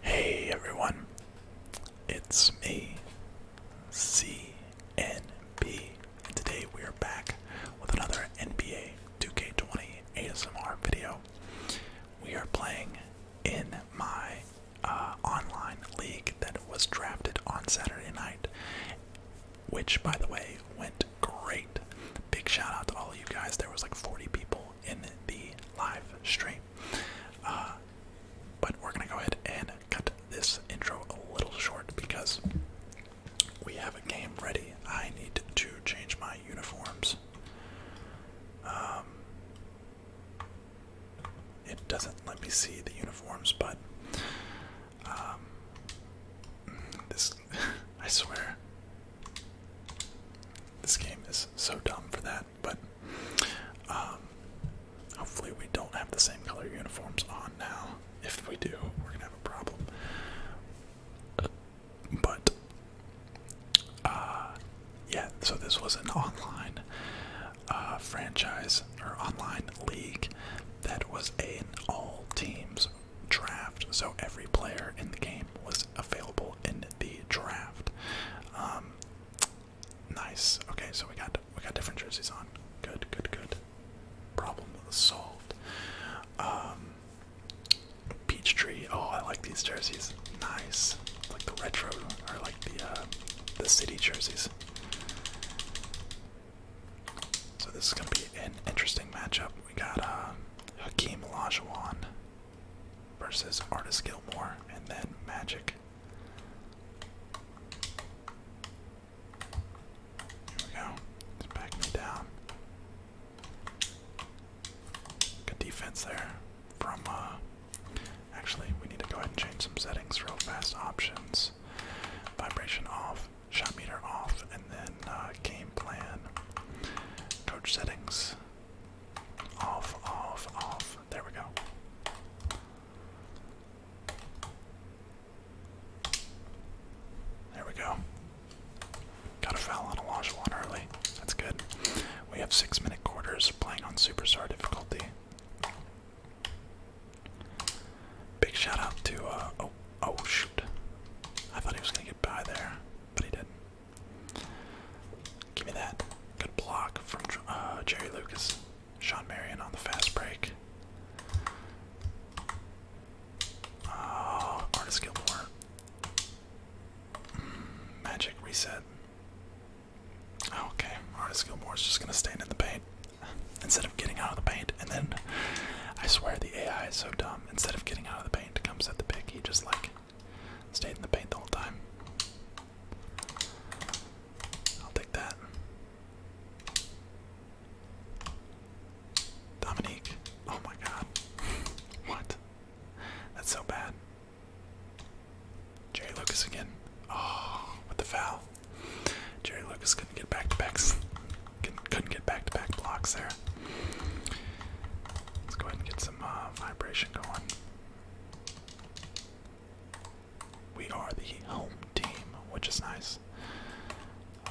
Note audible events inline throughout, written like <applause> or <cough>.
Hey everyone, it's me, CNB. Today we are back with another NBA 2K20 ASMR video. We are playing in my uh, online league that was drafted on Saturday night, which by the way went great. Big shout out to all of you guys. There was like 40 people in the live stream. Uh, but we're gonna go ahead and cut this intro a little short because we have a game ready. I need to change my uniforms. Um, it doesn't let me see the uniforms, but um, this, <laughs> I swear, this game is so dumb for that, but um, hopefully we don't have the same color uniforms on now. If we do, we're gonna have a problem. But uh, yeah, so this was an <laughs> online uh, franchise or online league that was an all teams draft. So every player in the game was available in the draft. Um, nice. Okay, so we got we got different jerseys on. Good, good, good. Problem solved. Um, peach tree. Oh, I like these jerseys. Nice, like the retro or like the uh, the city jerseys. So this is gonna be an interesting matchup. We got uh, Hakeem Olajuwon versus Artist Gilmore and then Magic. Here we go. He's backing me down. Good defense there from uh, actually we need to go ahead and change some settings real fast. Options. Vibration off, shot meter off, and then uh, game plan. Coach settings. Off, off, off. There we go. There we go. Got a foul on a launch one early. That's good. We have six minute quarters playing on super superstar difficulty. Big shout out to uh oh oh shoot. I thought he was gonna get by there, but he didn't. Give me that. Good block from uh, Jerry Lucas. Sean Marion on the fast break. Oh, Artist Gilmore. Mm, magic reset. Okay, Gilmore is just gonna stand in the paint instead of getting out of the paint. And then I swear the AI is so dumb. Instead of getting out of the paint, to come set the pick. He just like Stayed in the paint the whole time. I'll take that. Dominique. Oh my god. <laughs> what? That's so bad. Jerry Lucas again. Oh, with the foul. Jerry Lucas couldn't get back to backs. Couldn't get back to back blocks there. Let's go ahead and get some uh, vibration going. We are the home team, which is nice. Uh,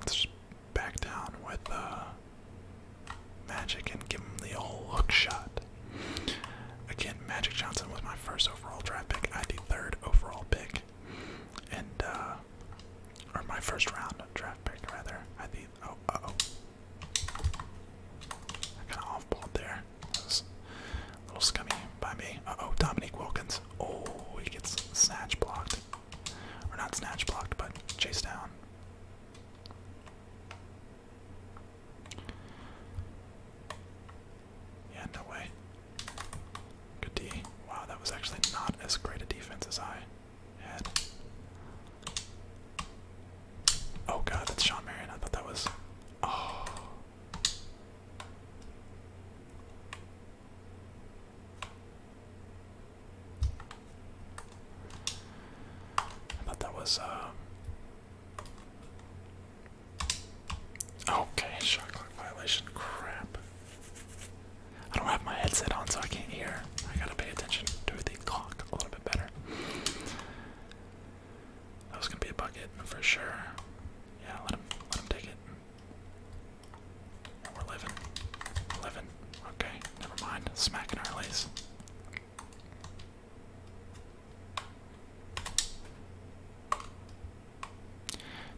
let's just back down with uh, Magic and give him the old hook shot. Again, Magic Johnson was my first overall draft pick. I had the third overall pick. And uh, or my first round draft pick rather. I think. Oh, oh. I kind of off ball there. little scummy by me. Uh oh, Dominique Wilkins. Oh, he gets snatch blocked, or not snatch blocked, but chased down. Yeah, no way. Good D. Wow, that was actually not as great a defense as I Oh god, that's Sean Marion. I thought that was. Oh. I thought that was. Uh... Okay, shot clock violation. Crap. I don't have my headset on, so I can't hear. I gotta pay attention to the clock a little bit better. That was gonna be a bucket for sure. Yeah, let him let him take it. we're living, living. Okay, never mind. Smacking our lace.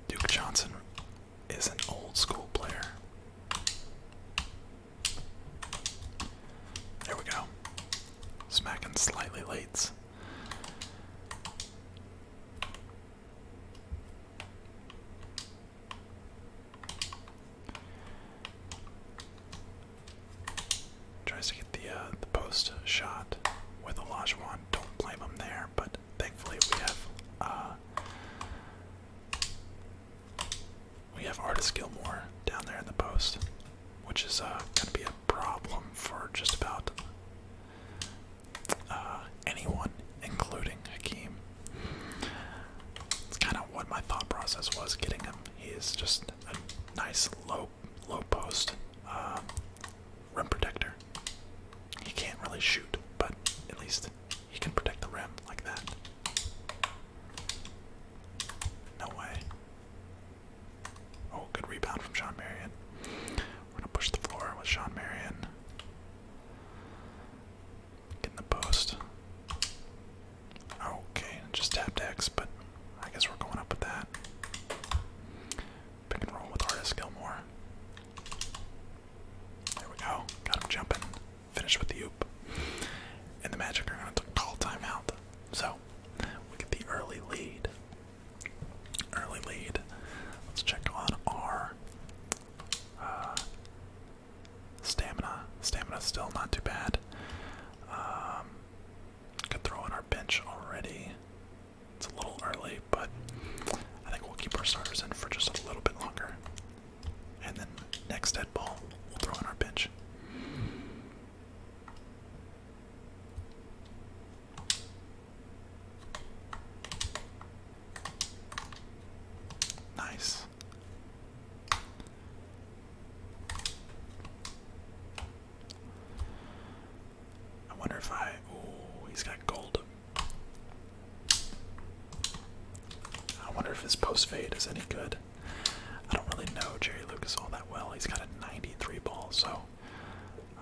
Duke Johnson is an old school player. There we go. Smacking slightly late. Tries to get the uh, the post shot with a Olajuwon. Don't blame him there, but thankfully we have uh, we have Artis Gilmore down there in the post, which is uh, going to be a problem for just about uh, anyone, including Hakeem. It's kind of what my thought process was getting him. He is just a nice low, low post um, rim protector. He can't really shoot, but at least he can protect the rim like that. No way. Oh, good rebound from Sean Marion. We're gonna push the floor with Sean Marion. Get in the post. Okay, just tapped X, but I guess we're going up with that. Pick and roll with Artis Gilmore. There we go. Got him jumping finish with the hoop. And the Magic are going to call timeout. So we get the early lead. Early lead. Let's check on our uh, stamina. is still not too bad. Um, could throw in our bench already. It's a little early, but I think we'll keep our starters in for just a little bit longer. And then next dead ball, we'll throw in our bench. Nice. I wonder if I. Oh, he's got gold. I wonder if his post fade is any good. I don't really know Jerry Lucas all that well. He's got a 93 ball, so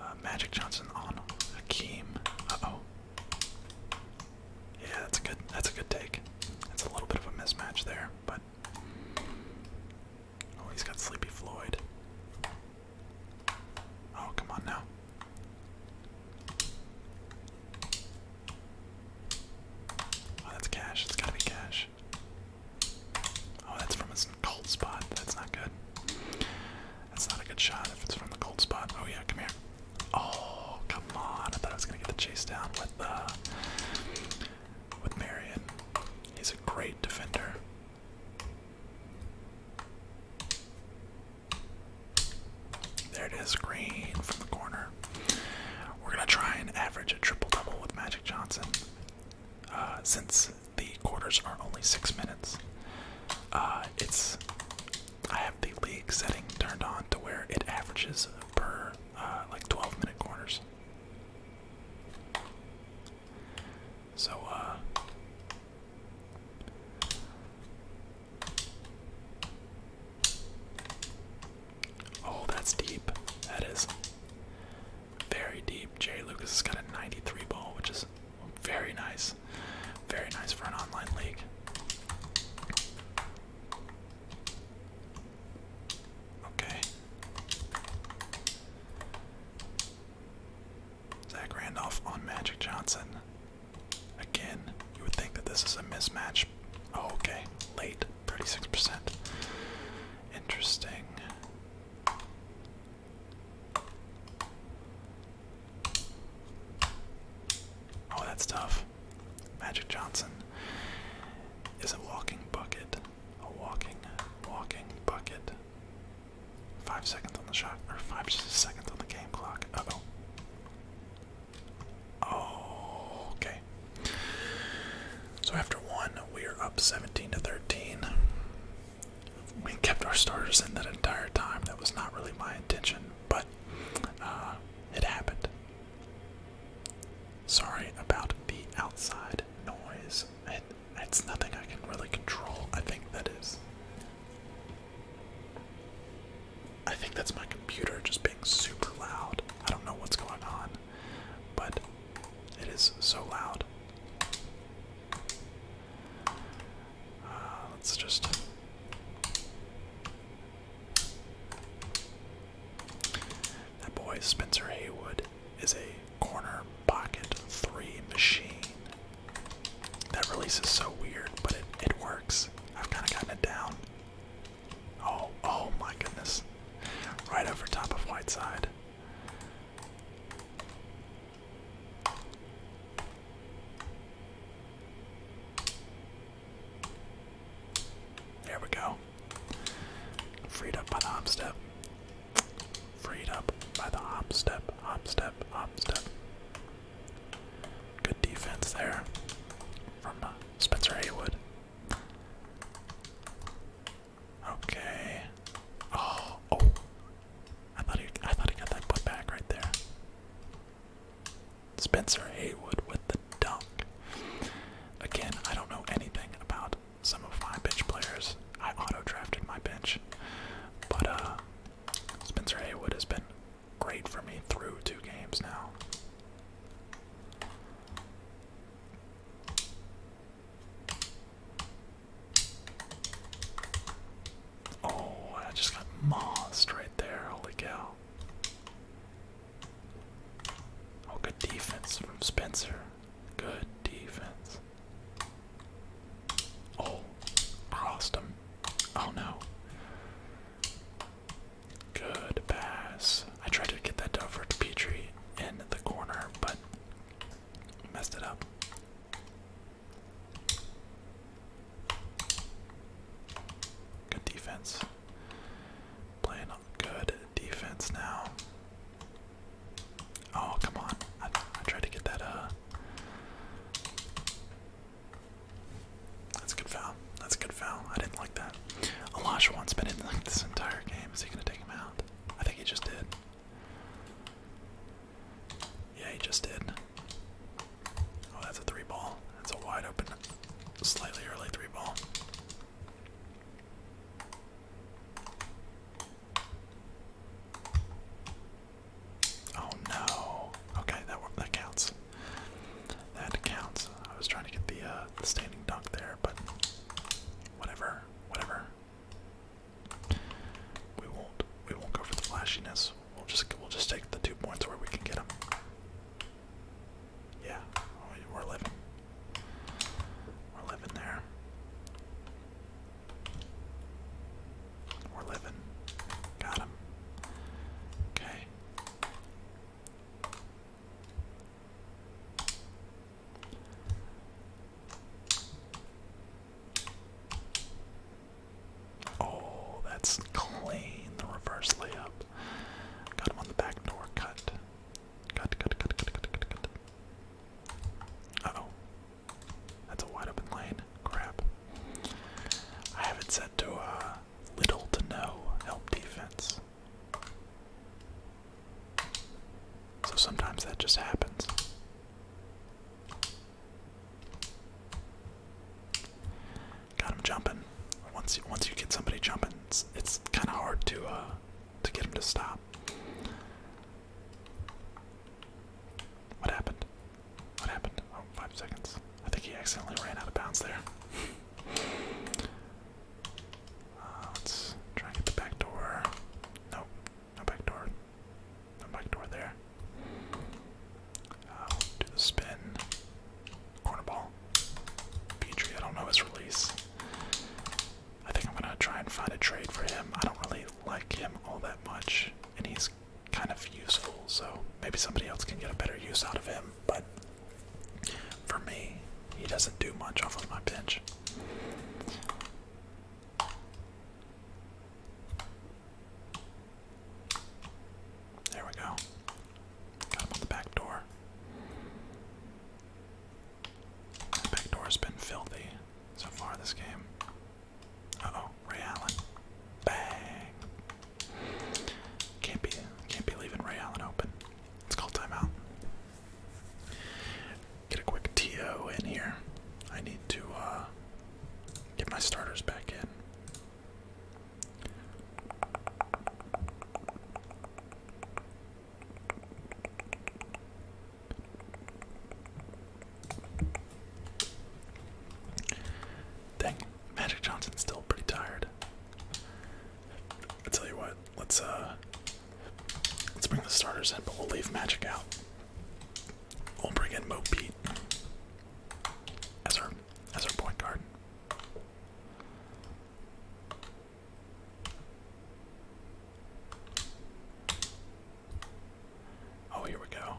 uh, Magic Johnson on Hakeem. Uh oh. Yeah, that's a good. That's a good take. It's a little bit of a mismatch there, but oh, he's got Sleepy Floyd. Oh, come on now. Oh, that's cash. It's gotta be cash. Oh, that's from a cold spot. That's not good. That's not a good shot if it's from the cold spot. Oh, yeah, come here. Oh, come on. I thought I was gonna get the chase down with, uh, with Marion. He's a great defender. There it is, green from the corner. We're gonna try and average a triple double with Magic Johnson, uh, since the quarters are only six minutes. Uh, it's I have the league setting turned on to where it averages per uh, like 12 minute quarters. So uh, Oh, that's deep. That is very deep. Jay Lucas has got a 93 ball, which is very nice. Very nice for an online league. Okay. Zach Randolph on Magic Johnson. Again, you would think that this is a mismatch. Oh, okay. Late. 36%. Interesting. Oh, that's tough. Magic Johnson is a walking bucket. A walking, walking bucket. Five seconds on the shot, or five seconds on the game clock. oh. Oh, okay. So after one, we are up 17 to 13. We kept our starters in that entire time. That was not really my intention, but uh, it happened. Sorry about the outside noise. it's nothing I can really control. I think that is I think that's my computer just being super loud. I don't know what's going on, but it is so loud. Uh, let's just. That boy, Spencer Haywood, is a corner pocket three machine. That release is so weird, but it, it works. I've kind of gotten it down. Oh, oh my goodness. Right over top of Whiteside. There we go. Freed up by the hop step. Freed up by the hop step, hop step, hop step. Good defense there from Spencer Haywood. Okay. Oh, oh. I thought he, I thought he got that put right there. Spencer Haywood with the dunk. Again, I don't know anything about some of my bench players. I auto drafted my bench, but uh, Spencer Haywood has been great for me through two games now. Oh, I just got mossed right there. Holy cow. Oh, good defense from Spencer. Good defense. Oh, crossed him. Oh no. Good pass. I tried to get that down Petrie in the corner, but messed it up. Good defense. Playing good defense now. Oh, come on. I, I tried to get that, uh. That's a good foul. That's a good foul. I didn't like that. Elijah wants has been in like this entire game. Is he gonna take him out? I think he just did. Yeah, he just did. Oh, that's a three ball. That's a wide open, slightly early three ball. Oh no. Okay, that that counts. That counts. I was trying to get the, uh, the standing dunk there, but whatever, whatever. We won't. We won't go for the flashiness. We'll just we'll just take the two points where we can get them. Oh, yeah, we're living. We're living there. We're living. Got him. Okay. Oh, that's clean. The reverse layup. Got him on the back cut. Cut, cut, cut, cut, cut, cut, cut. oh. That's a wide open lane. Crap. I have it set to uh little to no help defense. So sometimes that just happens. Got him jumping. Once you, once you get somebody jumping, it's, it's kind of hard to uh, to get him to stop. What happened? What happened? Oh, five seconds. I think he accidentally ran out of bounds there. Uh, let's try and get the back door. Nope, no back door. No back door there. Uh, will do the spin. Corner ball. Petrie, I don't know his release. I think I'm gonna try and find a trade for him. I don't really like him all that much, and he's kind of useful, so maybe somebody else can get a better use out of him, but for me, he doesn't do much off of my bench. There we go. Got him on the back door. The back door has been filthy so far this game. oh, Ray Allen. Bang! Can't be can't be leaving Ray Allen open. Let's call timeout. Get a quick TO in here. I need to uh, get my starters back in. Dang, Magic Johnson's still pretty tired. I tell you what, let's uh, let's bring the starters in, but we'll leave Magic out. We'll bring in Mo Pete as our as our point guard. Oh, here we go.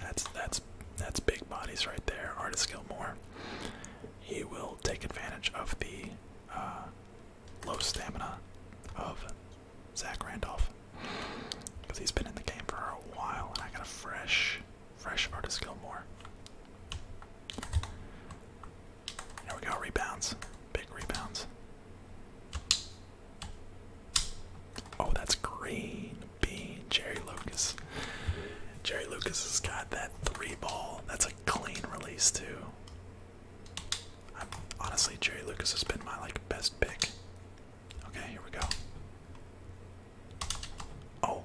That's that's that's big bodies right there. Artis Gilmore. He will take advantage of the uh, low stamina of Zach Randolph because he's been in the game for a while, and I got a fresh, fresh Artis Gilmore. There we go. Rebounds. Big rebounds. Oh, that's green be Jerry Lucas. Jerry Lucas has got that three ball. That's a clean release too. I'm, honestly, Jerry Lucas has been my like best pick. Okay, here we go. Oh,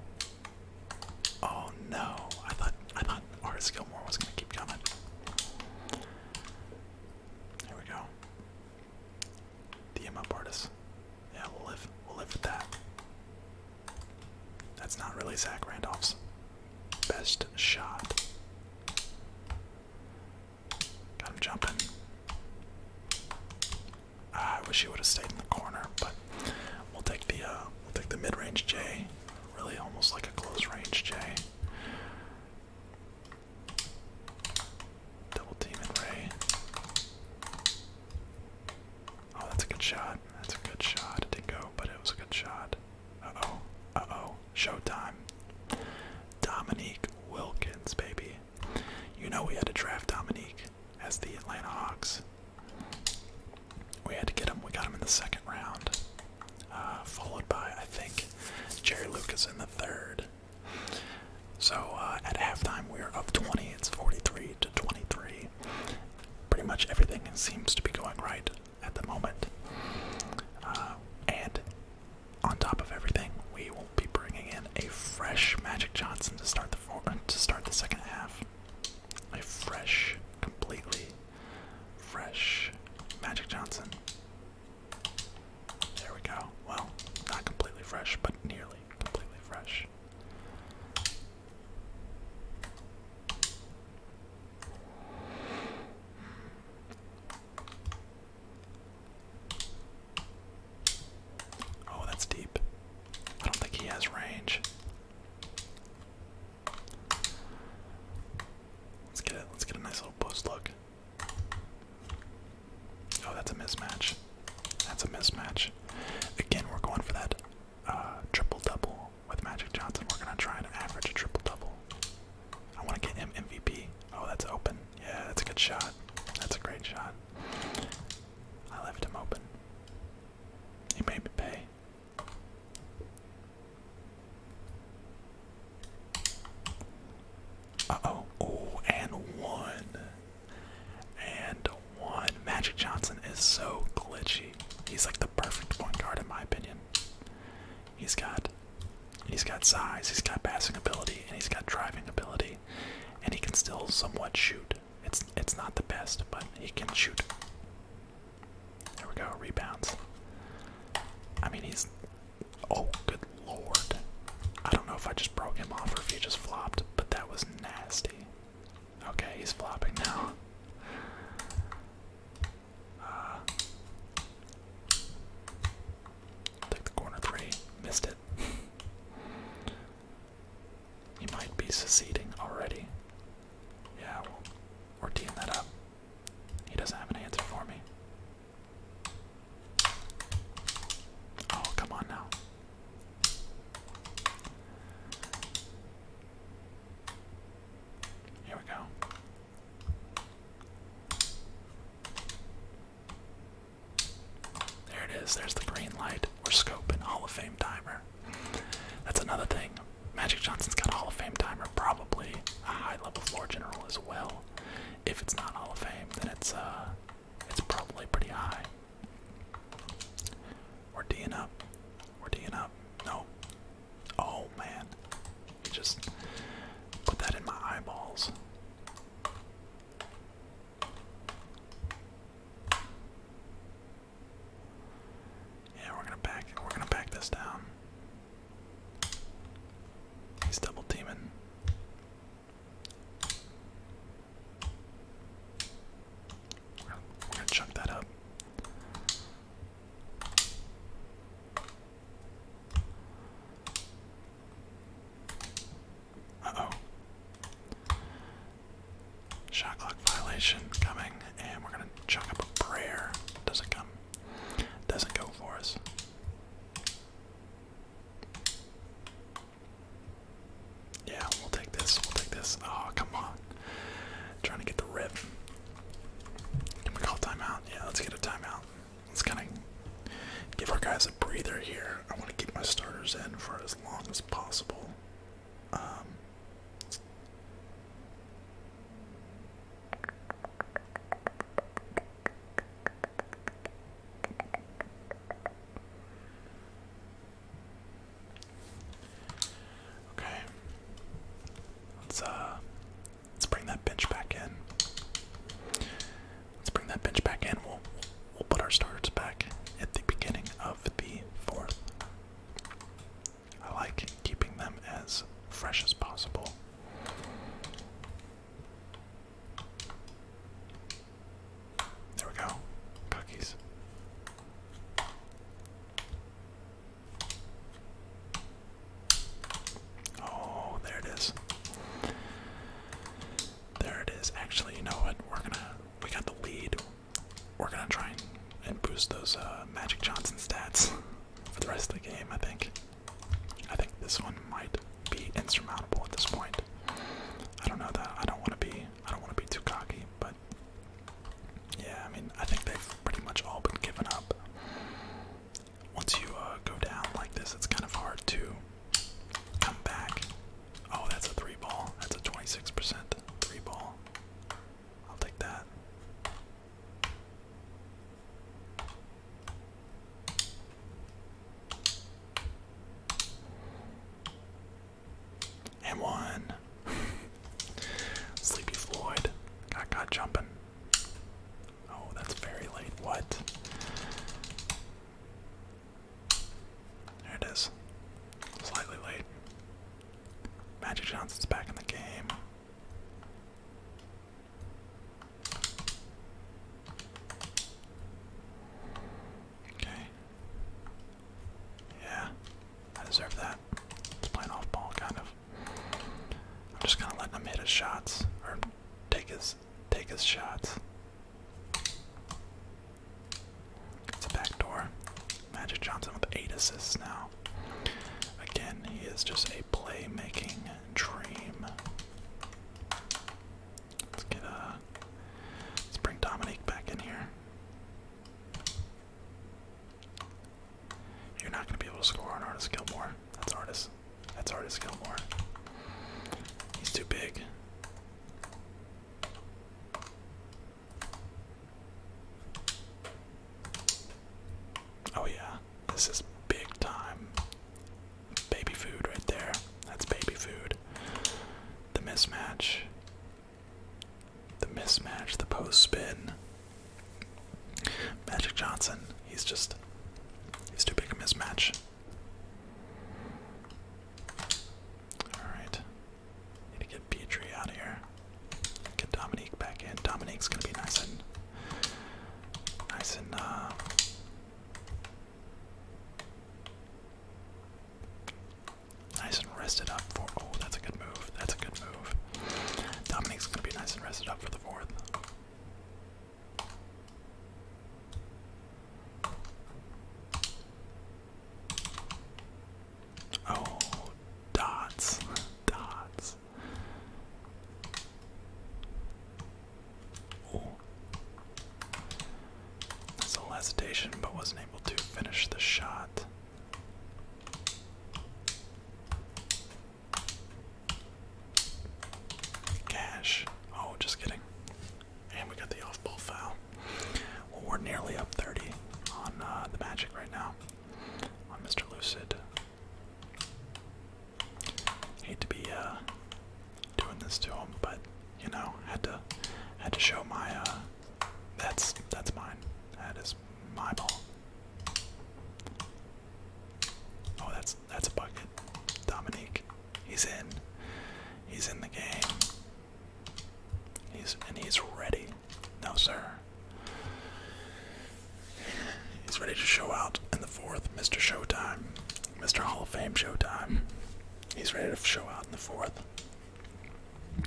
oh no! I thought I thought Horace Gilmore was gonna keep coming. Here we go. DM up artist. Yeah, we'll live. We'll live that. That's not really Zach Randolph's best shot. Got him jumping. Ah, I wish he would have stayed in the corner, but we'll take the uh, we'll take the mid-range J. Really, almost like a close-range J. Double team Ray. Oh, that's a good shot. That's a good shot. It didn't go, but it was a good shot. Uh oh. Uh oh. Showtime. Dominique Wilkins, baby. You know we had to draft Dominique as the Atlanta Hawks. We had to get him. We got him in the second round, uh, followed by I think Jerry Lucas in the third. So uh, at halftime, we are up 20. It's 43 to 23. Pretty much everything seems to be going right at the moment. Uh, and on top of everything, we will be bringing in a fresh Magic Johnson to start the to start the second half. A fresh, completely fresh Magic Johnson. There we go. Well, not completely fresh, but nearly completely fresh. Oh, that's deep. I don't think he has range. Let's get it. Let's get a nice little post look. Oh, that's a mismatch. That's a mismatch. Again, we're going for that uh, triple double with Magic Johnson. We're gonna try and average a triple double. I want to get MVP. Oh, that's open. Yeah, that's a good shot. That's a great shot. I left him open. He made me pay. Uh oh. Oh, and one and one. Magic Johnson is so glitchy. He's like the perfect point guard in my opinion. He's got he's got size, he's got passing ability, and he's got driving ability, and he can still somewhat shoot. It's it's not the best, but he can shoot. There we go, rebounds. I mean he's oh good lord. I don't know if I just broke him off or if he just flopped, but that was nasty. Okay, he's flopping now. Uh, take the corner three. Missed it. <laughs> he might be succeeding already. Yeah, we'll, that up. He doesn't have an answer for me. Oh, come on now. Here we go. There it is. There's the green light. We're scoping Hall of Fame timer. That's another thing. Magic Johnson's got a Hall of Fame timer, probably a high level four general as well. If it's not Hall of Fame, then it's uh, it's probably pretty high. We're D'ing up. We're D'ing up. No. Oh man. just put that in my eyeballs. Yeah, we're gonna back we're gonna back this down. He's double teaming. We're gonna, chuck that up. Uh oh. Shot clock violation coming, and we're gonna chuck up a prayer. Doesn't come. Doesn't go for us. Yeah, we'll take this. We'll take this. Oh, come on. trying to get the rip. Can we call timeout? Yeah, let's get a timeout. Let's kind of give our guys a breather here. I want to keep my starters in for as long as possible. Um, Okay. Let's uh let's bring that bench back in. Let's bring that bench back in. We'll we'll put our starters back at the beginning of the fourth. I like keeping them as fresh as possible. There we go. Cookies. Oh, there it is. There it is. Actually, you know what? We're gonna we got the lead. We're gonna try and, boost those uh, Magic Johnson stats for the rest of the game. I think. I think this one might be insurmountable at this point. I don't know that. I don't want to be I don't want to be too cocky, but yeah, I mean, I think they've pretty much all been given up. Once you uh, go down like this, it's kind of hard to come back. Oh, that's a three ball. That's a 26% three ball. I'll take that. And one. <laughs> Sleepy Floyd got caught jumping. Oh, that's very late. What? There it is. Slightly late. Magic Johnson's back in the game. Okay. Yeah, I deserve that. It's playing off ball, kind of. I'm just kind of letting him hit his shots or take his take his shots. It's a backdoor. Magic Johnson with eight assists now. Again, he is just a playmaking dream. Let's get uh let's bring Dominic back in here. You're not gonna be able to score on Artis Gilmore. That's Artis. That's Artis Gilmore. He's too big. Oh yeah, this is big time. Baby food right there. That's baby food. The mismatch the mismatch, the post spin. Magic Johnson, he's just he's too big a mismatch. Alright. Need to get Petrie out of here. Get Dominique back in. Dominique's gonna be nice and nice and uh, Nice and rested up for. Oh, that's a good move. That's a good move. Dominic's gonna be nice and rested up for the fourth. Oh, dots, <laughs> dots. Oh, some hesitation, but wasn't able to finish the shot. Cash. Oh, just kidding. And we got the off ball foul. Well, we're nearly up 30 on uh, the Magic right now, on Mr. Lucid. Hate to be uh, doing this to him, but you know, had to had to show my uh, that's that's mine. That is my ball. Oh, that's that's a bucket. Dominique, he's in. He's in the game. He's and he's ready. No, sir. He's ready to show out in the fourth, Mr. Showtime, Mr. Hall of Fame Showtime. He's ready to show out in the fourth.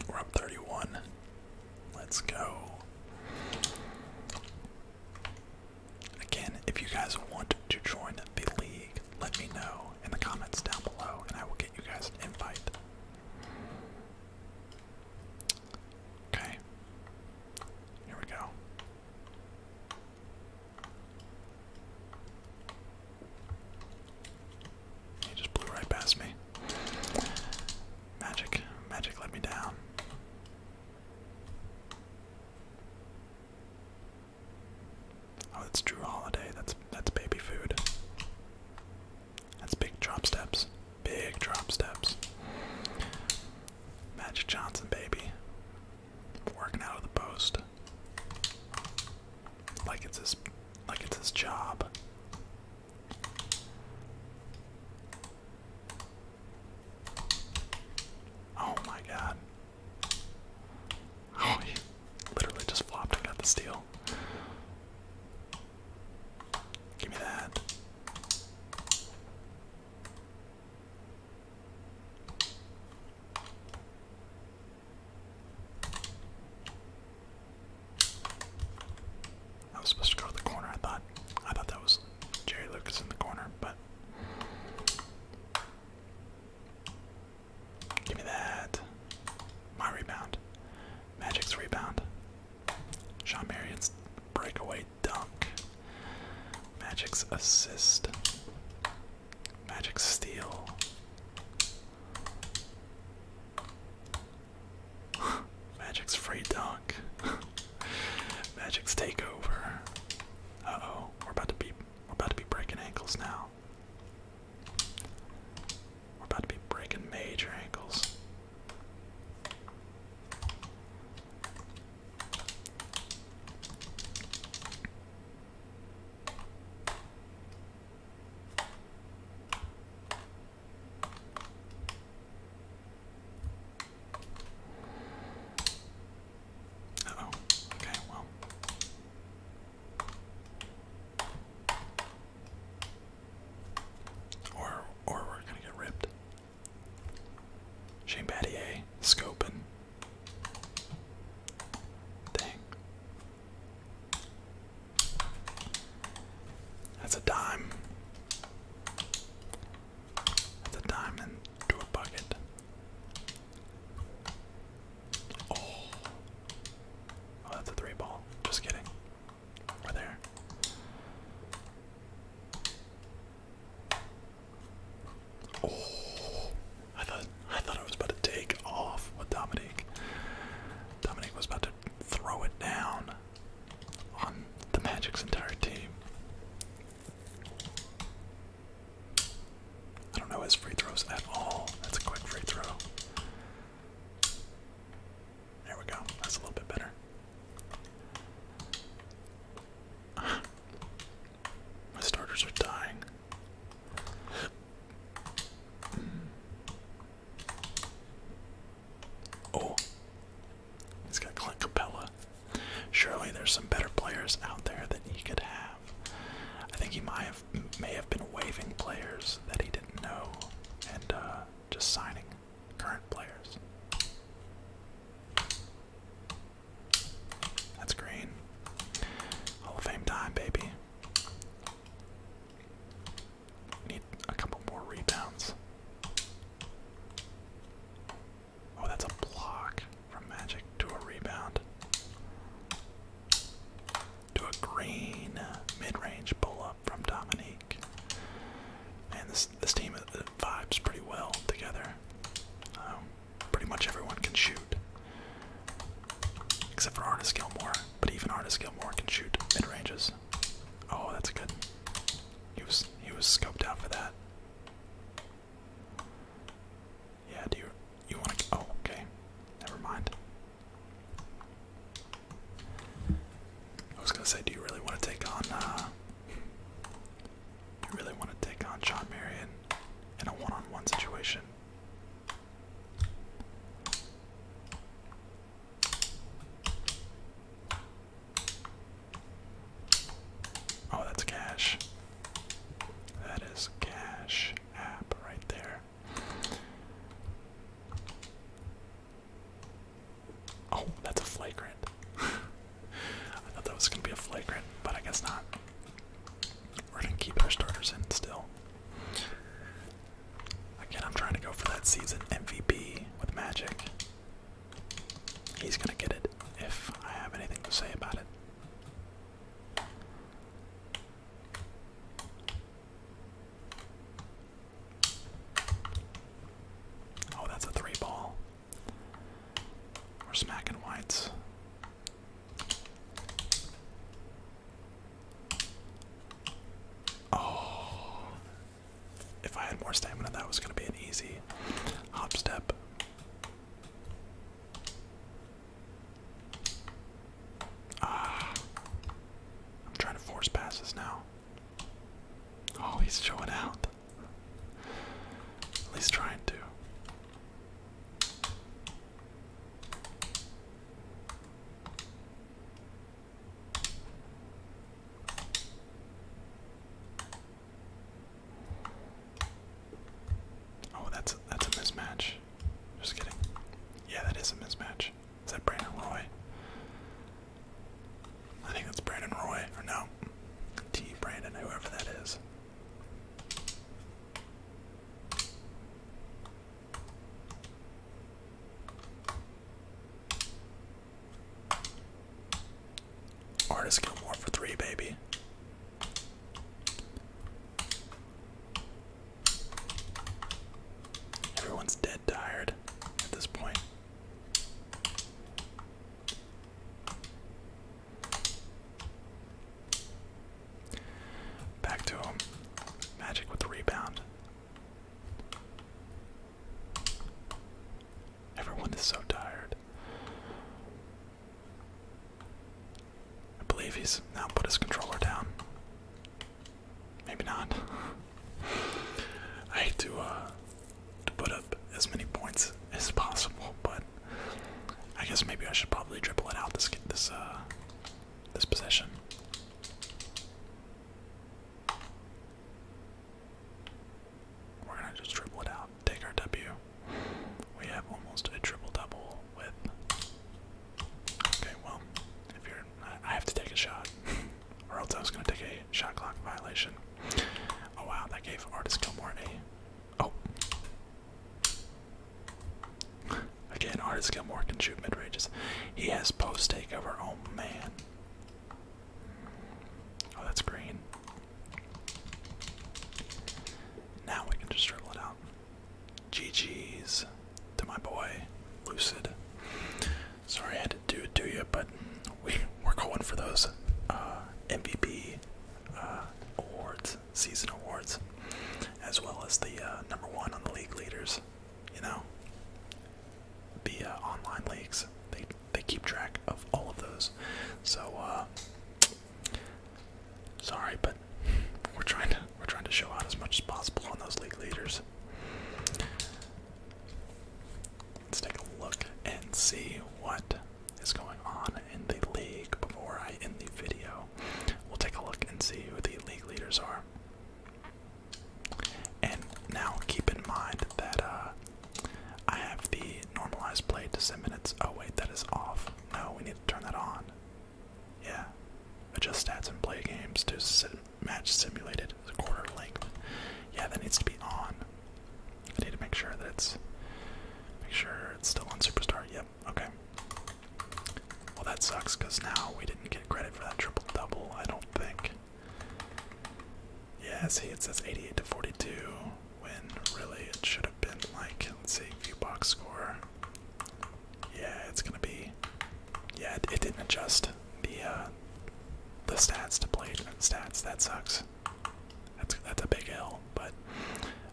We're up 31. Let's go. Again, if you guys want to join the league, let me know in the comments down below and I will get you guys an invite. Okay. Here we go. He just blew right past me. Magic. Magic let me down. Oh, it's Drew Holiday. That's that's baby food. That's big drop steps. Big drop steps. Magic Johnson, baby. Working out of the post. Like it's his like it's his job. Oh my god. Oh he literally just flopped and got the steal. Give me that. I was supposed to go to the corner, I thought. I thought that was Jerry Lucas in the corner, but give me that. My rebound. Magic's rebound. Sean Marion's breakaway dunk. Magic's assist. Magic steal. <laughs> Magic's free dunk. <laughs> Magic's takeover. Uh oh, we're about to be we're about to be breaking ankles now. We're about to be breaking major ankles oh. Okay, well. Or or we're gonna get ripped. Shane Battier scoping. Dang. That's a dime. That's a dime into a bucket. Oh. Oh, that's a three ball. Just kidding. we there. Oh, I thought I thought I was about to take off with Dominic. Dominic was about to throw it down on the Magic's entire team. I don't know his free throws at all. That's a quick free throw. There we go. That's a little bit better. <sighs> My starters are dying. Oh, he's got Clint Capella. Surely there's some better players out there than he could have. I think he might have may have been waiving players that he didn't know and uh, just signing current players. That's green. Hall of Fame time, baby. Need a couple more rebounds. Oh, that's a block from Magic to a rebound. To a green mid-range pull-up from Dominique. And this this team uh, vibes pretty well together. Um, pretty much everyone can shoot. Except for Artis Gilmore, but even Artis Gilmore can shoot mid ranges. Oh, that's good. He was he was scoped out for that. Yeah, do you you want to? Oh, okay. Never mind. I was gonna say, do you really want to take on? Uh, you really want to take on John Marion in a one -on -one situation? Oh, that's cash. That is cash app right there. Oh, that's a flagrant. <laughs> I thought that was gonna be a flagrant, but I guess not. We're gonna keep our starters in still. Again, I'm trying to go for that season MVP with Magic. He's going to get it if I have anything to say about it. Oh, that's a three ball. We're smacking whites. Oh, if I had more stamina, that was going to be an easy hop step. Ah, I'm trying to force passes now. Oh, he's showing out. At least trying to. Oh, that's that's a mismatch. Just kidding. Yeah, that is a mismatch. Is that Brandon Roy? I think that's Brandon Roy, or no. T. Brandon, whoever that is. Art is Artist Gilmore for three, baby. Everyone's dead tired at this point. Back to him. Magic with rebound. Everyone is so tired. I believe he's now put his controller down. Maybe not. <laughs> I hate to, uh, to put up as many points as possible, but I guess maybe I should probably dribble it out to get this uh this possession. We're gonna just triple it out. Take our W. We have almost a triple double with. Okay, well, if you're, I have to take a shot, <laughs> or else I was gonna take a shot clock violation. Oh wow, that gave Artis Gilmore a. Oh. Again, Artis Gilmore can shoot mid ranges. He has post takeover. Oh man. Oh, that's green. Now we can just dribble it out. GG's to my boy, Lucid. Sorry I had to do it to you, but we, we're going for those uh, MVP uh, awards, season awards, as well as the uh, number one on the league leaders you know, the uh, online leagues. They they keep track of all of those. So uh, sorry, but we're trying to we're trying to show out as much as possible on those league leaders. Let's take a look and see what is going on in the league before I end the video. We'll take a look and see who the league leaders are. And now keep in mind that uh, I have the normalized play to 10 minutes. Oh wait, that is off. No, we need to turn that on. Yeah, adjust stats and play games to match simulated quarter length. Yeah, that needs to be on. I need to make sure that it's make sure it's still on superstar. Yep. Okay. Well, that sucks because now we didn't get credit for that triple double, I don't think. Yeah, see, it says 88 to 42, when really it should have been like, let's see, view box score. Yeah, it's gonna be. Yeah, it, didn't adjust the uh, the stats to play stats. That sucks. That's that's a big L. But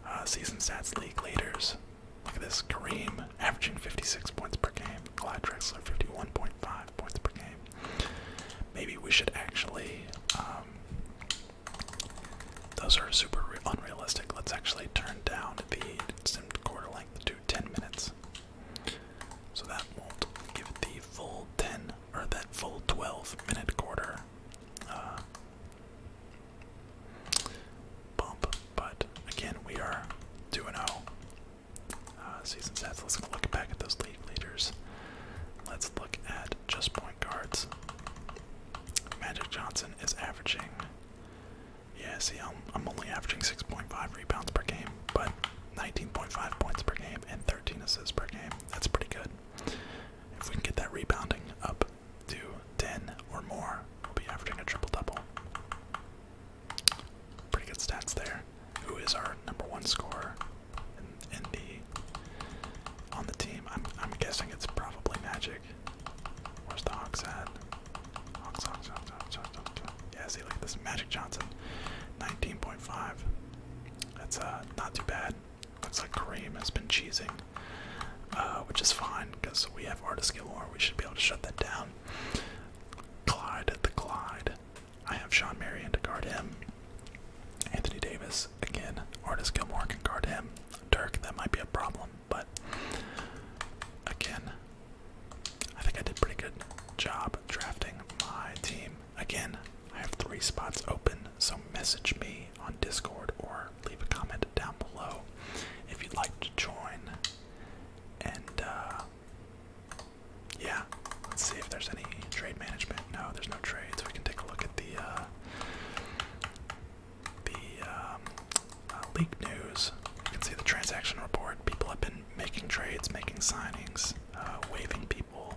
uh, season stats, league leaders, Look at this. Kareem averaging 56 points per game. Clyde Drexler 51.5 points per game. Maybe we should actually. Um, those are super unrealistic. Let's actually turn down the simmed quarter length to 10 minutes. So that won't give it the full 10 or that full 12 minute quarter. Uh, bump. But again, we are 2 0. Uh, season stats. Let's look back at those lead leaders. Let's look at just point guards. Magic Johnson is averaging. Yeah, see, I'm, I'm only averaging 6.5 rebounds per game, but 19.5 points per game and 13 assists per game. That's pretty good. If we can get that rebounding up to 10 or more, we'll be averaging a triple double. Pretty good stats there. Who is our number one scorer in, the on the team? I'm I'm guessing it's probably Magic. Where's the Hawks at? Hawks, Hawks, Hawks, Hawks, Hawks, Hawks. Yeah, see, look at this. Magic Johnson, 19.5. That's uh, not too bad. Looks like Kareem has been cheesing, uh, which is fine because we have Artist Gilmore. We should be able to shut that down. Clyde the Clyde. I have Sean Marion to guard him. Anthony Davis, again, Artis Gilmore can guard him. Dirk, that might be a problem, but again, I think I did a pretty good job drafting my team. Again, I have three spots open, so message me on Discord or leave a comment down below if you'd like to join and uh, yeah, let's see if there's any trade management. No, there's no trades. We can take a look at the uh, the um, uh, news. You can see the transaction report. People have been making trades, making signings, uh, waving people.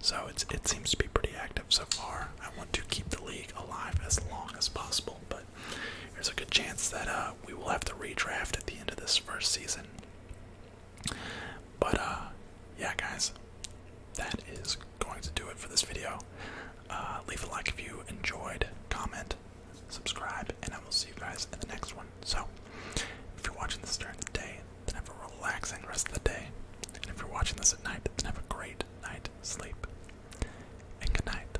So it's it seems to be pretty active so far. I want to keep the league alive as long as possible, but there's a good chance that uh, we will have to redraft at the end of this first season. But uh, yeah, guys, that is going to do it for this video. Uh, leave a like if you enjoyed, comment, subscribe, and I will see you guys in the next one. So, if you're watching this during the day, then have a relaxing rest of the day. And if you're watching this at night, then have a great night sleep. And good night.